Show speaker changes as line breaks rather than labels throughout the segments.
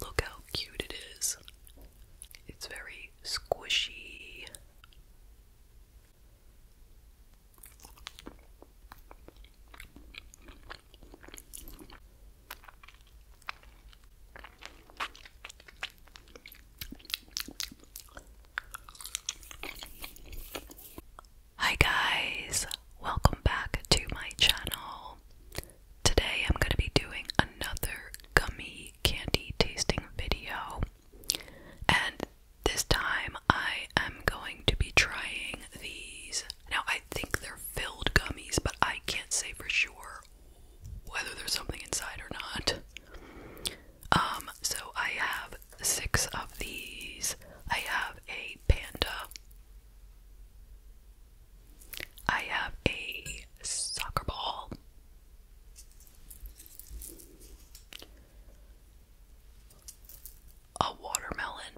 Look how cute it is. It's very squishy. Hi guys, welcome back to my channel. Today I'm going to be doing another gummy candy tasting video. And this time I am going to be trying these. Now I think they're filled gummies, but I can't say for sure whether there's something inside or not. Um, so I have six of these. I have a panda. I have a soccer ball. A watermelon.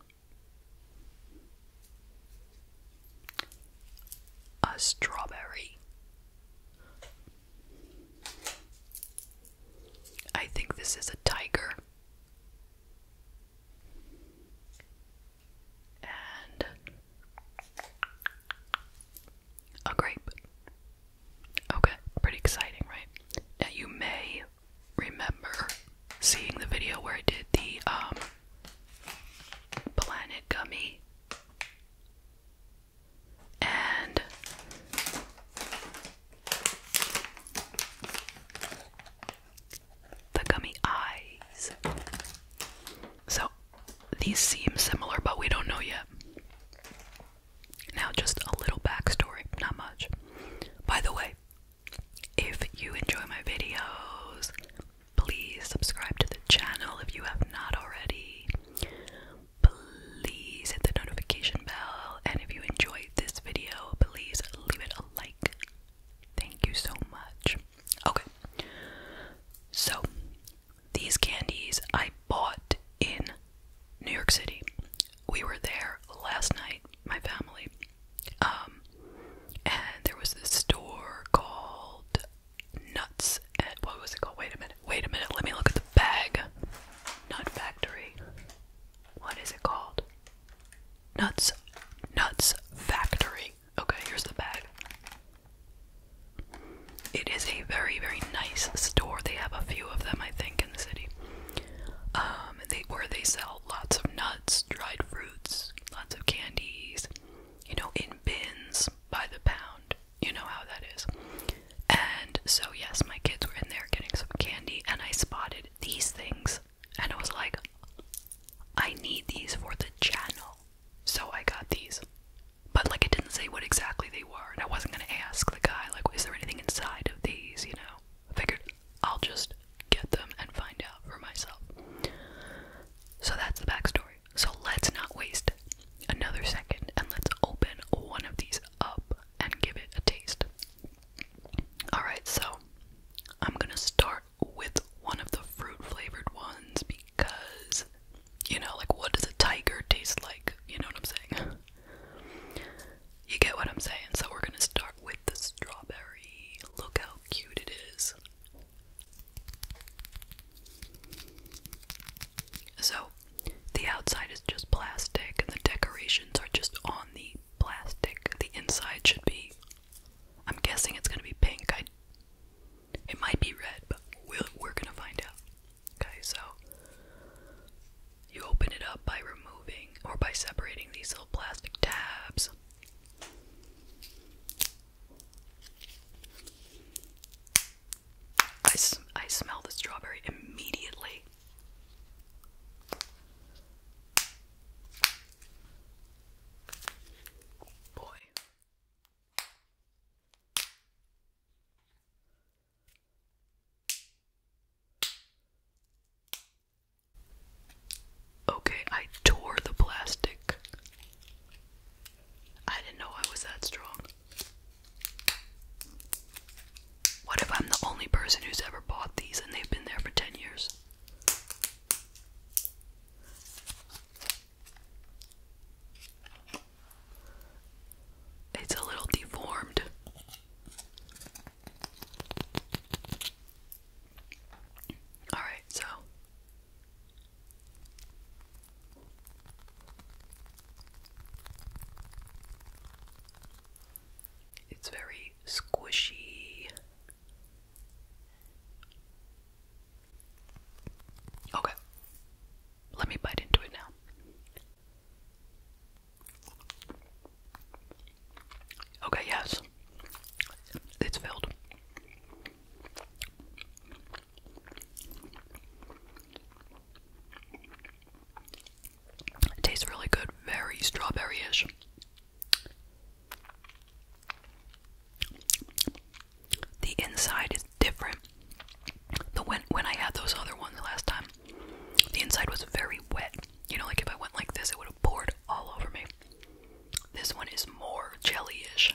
A strawberry. I think this is a tiger and a grape. Okay, pretty exciting, right? Now you may remember seeing the video where I did the um, planet gummy and the gummy eyes. So these seem similar, but we don't know yet. Now, just a little backstory, not much. By the way, if you enjoy my videos, please subscribe to the channel if you have not already. Please hit the notification bell, and if you enjoyed this video, please leave it a like. Thank you so much. Okay. So, these candies I bought in New York City. We were there last night, my family. Um, and there was this store called Nuts. And what was it called? Wait a minute. Wait a minute. Let me look at the bag. Nut Factory. What is it called? Nuts. Nuts Factory. Okay, here's the bag. It is a very, very nice store. They have a few of them, I think, in the city. Um, they where they sell lots of nuts, dried fruits, lots of candies, you know, in bins by the pound. You know how that is. And so yes, my kids were in there getting some candy and I spotted these things and I was like I need these for the channel. So I got these. But like it didn't say what exactly they were, and I wasn't gonna ask the guy, like, is there anything inside of these, you know? I figured I'll just get them and find out for myself. So that's the backstory. So let's not waste another second and let's open one of these up and give it a taste. Alright, so I'm gonna start with one of the fruit flavored ones because, you know, like what does a tiger taste like? You know what I'm saying? You get what I'm saying? So we're gonna start with the strawberry. Look how cute it is. So, the outside is just plastic, and the decorations are just on the plastic. The inside should be. I'm guessing it's gonna be pink. I it might be red, but we are gonna find out. Okay, so you open it up by removing or by separating these little plastic tabs. I, I smell the strawberry immediately. Boy, Okay, I tore the plastic. I didn't know I was that strong. What if I'm the only person who's ever bought these and they've been there for 10 years? It's a little deformed. All right, so it's very squishy. Okay. Let me bite into it now. Okay, yes. It's filled. It tastes really good, very strawberry ish. The inside is different. The when when I had those other ones last time, the inside was very wet. You know, like if I went like this, it would have poured all over me. This one is more jellyish.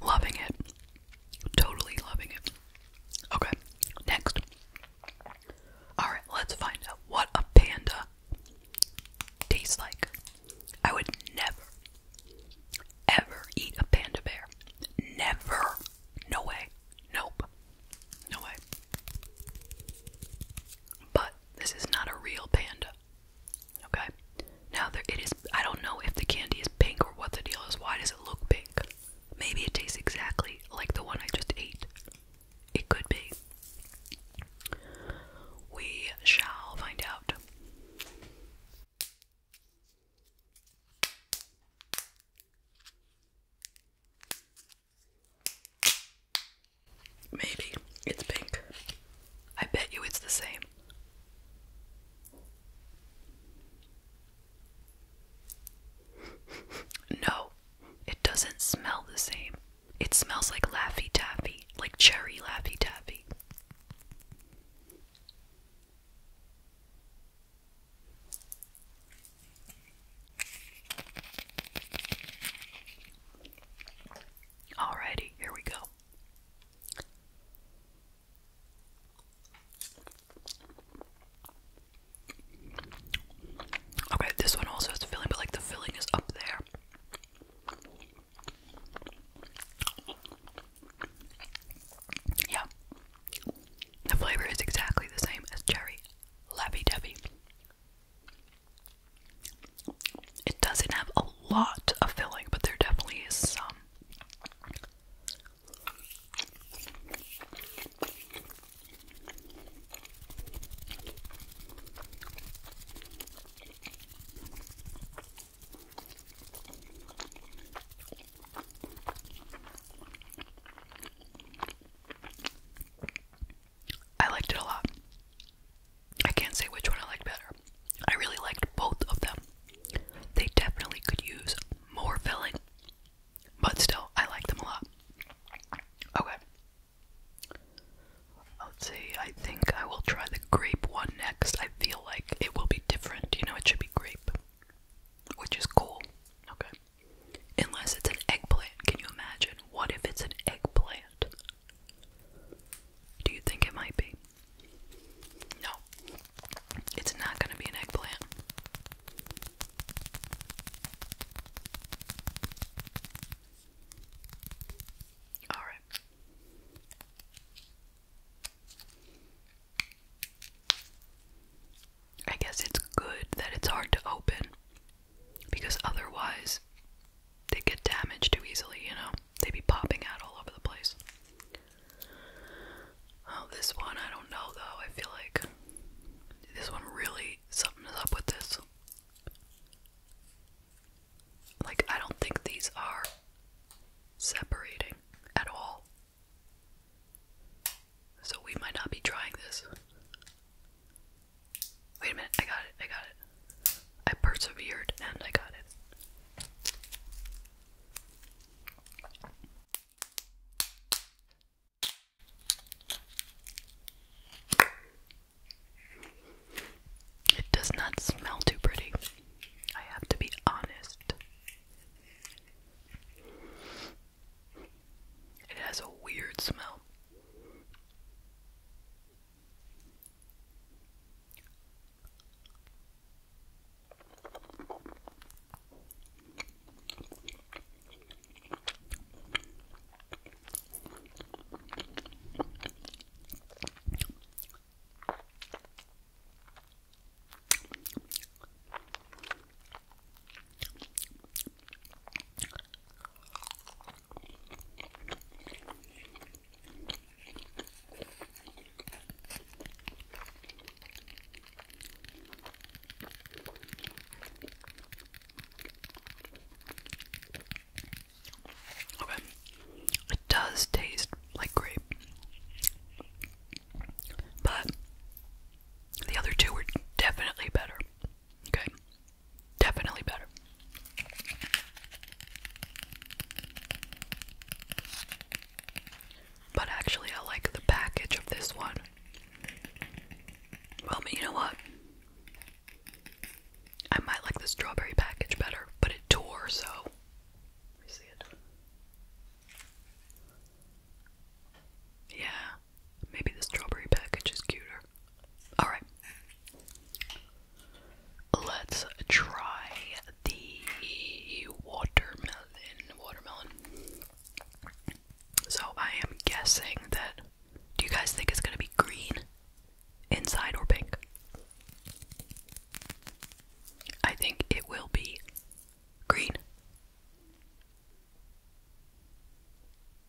Loving it. Totally loving it. Okay, next. Alright, let's find out what a panda tastes like. I would never, ever eat a panda bear. Never. No way. Nope. No way. But this is not a real panda. Okay? Now, it is. I don't know if the candy is pink or what the deal is. Why does it look pink? Maybe it tastes exactly like the one I just ate. It could be. We shall find out. Maybe it's pink. I bet you it's the same. no, it doesn't smell the same. It smells like Laffy Taffy, like cherry Laffy Taffy. Alrighty, here we go. Okay, this one also has filling, but like the filling is up there. Yeah. The flavor is exactly the same as cherry. Labby Debbie. It doesn't have a lot of filling, but there definitely is some. I liked it a lot. I can't say which one I liked better. I really liked both of them. They definitely could use more filling, but still, I like them a lot. Okay. Let's see, I think I will try the grape one next. I feel like it will be different. You know, it should be grape, which is cool. Okay. Unless it's an eggplant. Can you imagine? What if it's an eggplant? Do you think it might be? No. It's not going to be an eggplant. All right. I guess it's good that it's hard to open because otherwise they get damaged too easily, you know? They'd be popping out all over the place. Oh, this one, I don't know though. I feel like this one really something is up with this. Like, I don't think these are separating at all. So we might not be trying this. Wait a minute, I got it, I got it. I persevered and I got it. It does not smell too pretty. I have to be honest. It has a weird smell. Okay. It does taste like grape. But the other two were definitely better. Okay. Definitely better. But actually, I like the package of this one. Well, but you know what? I might like the strawberry package better, but it tore, so. Let me see it. Yeah, maybe the strawberry package is cuter. Alright. Let's try the watermelon. Watermelon. So I am guessing that. Do you guys think it's gonna be green inside or pink? I think it will be green.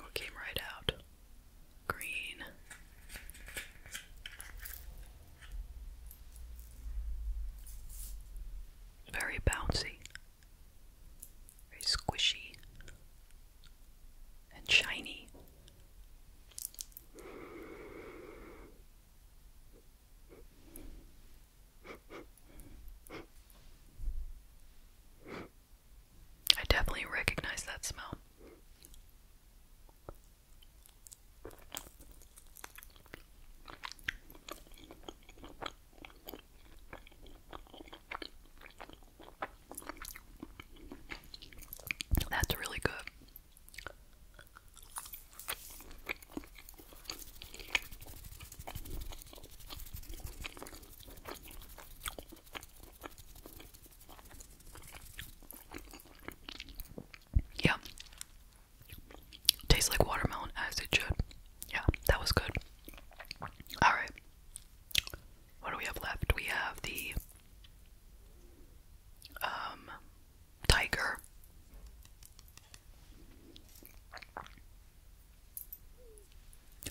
What came right out? Green. Very bouncy, very squishy, and shiny. I definitely recognize that smell. That's really good. Yeah. Tastes like watermelon as it should. Yeah, that was good. Alright. What do we have left? We have the um tiger.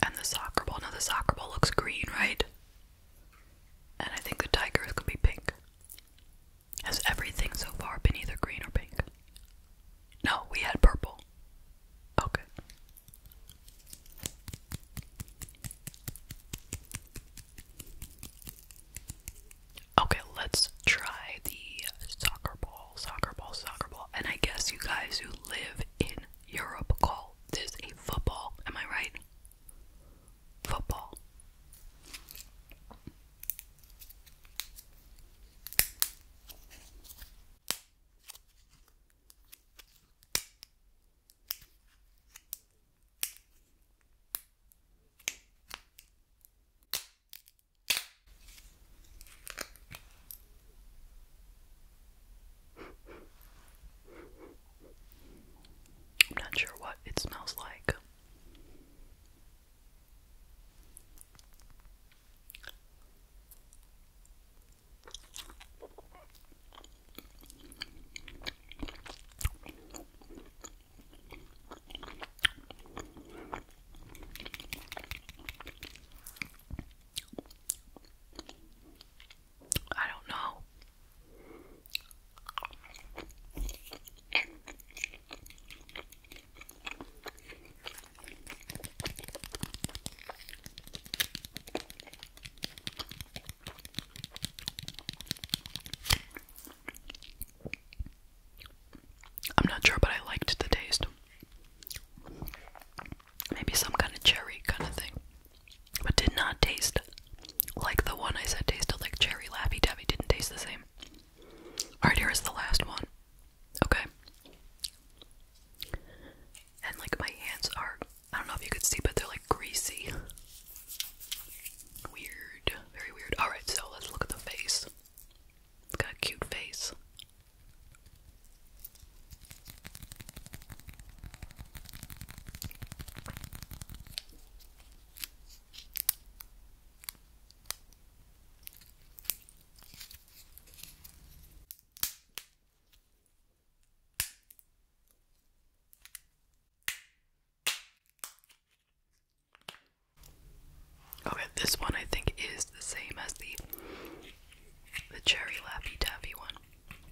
And the soccer ball. Now the soccer ball looks green, right? And I think the tiger is gonna be pink. Has everything so far been either green or pink? No, we had purple. Okay. Okay, let's try the soccer ball, soccer ball, soccer ball. And I guess you guys who live in Europe call football. There's a football. Am I right? Football. I'm not sure what it smells like. I don't know. I'm not sure, but I liked the taste maybe some kind of cherry kind of thing. But did not taste like the one I said tasted like cherry lappy tappy. Didn't taste the same. Alright, here is the last one. Okay. And like my hands are, I don't know if you could see, but they're like greasy. Weird. Very weird. Alright, so let's look at the face. got a cute face. Okay, this one I think is the same as the the cherry lappy taffy one.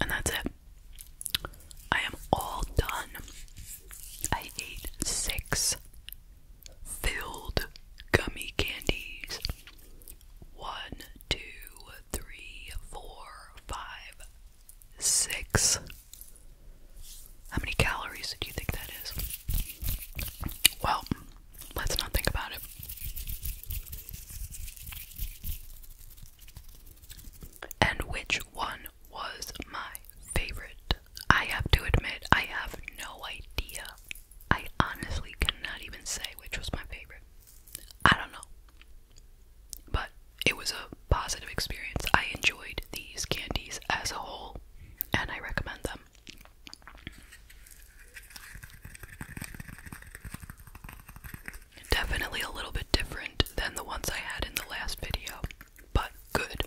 And that's it. I am all done. I ate six filled gummy candies one, two, three, four, five, six. How many calories do you think that is? Well, let's not think about it. And which one was my favorite? I have to admit, I have no idea. I honestly cannot even say which was my favorite. I don't know. But it was a positive experience. I enjoyed these candies as a whole, and I recommend them. Definitely a little bit different than the ones I had in the last video, but good.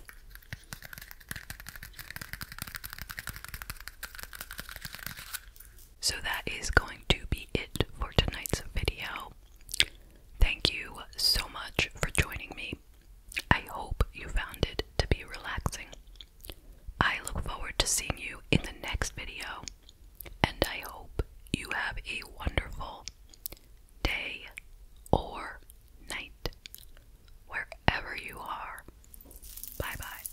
So that is going to be it for tonight's video. Thank you so much for joining me. I hope you found it to be relaxing. I look forward to seeing you in the next video, and I hope you have a wonderful day or night wherever you are. Bye bye.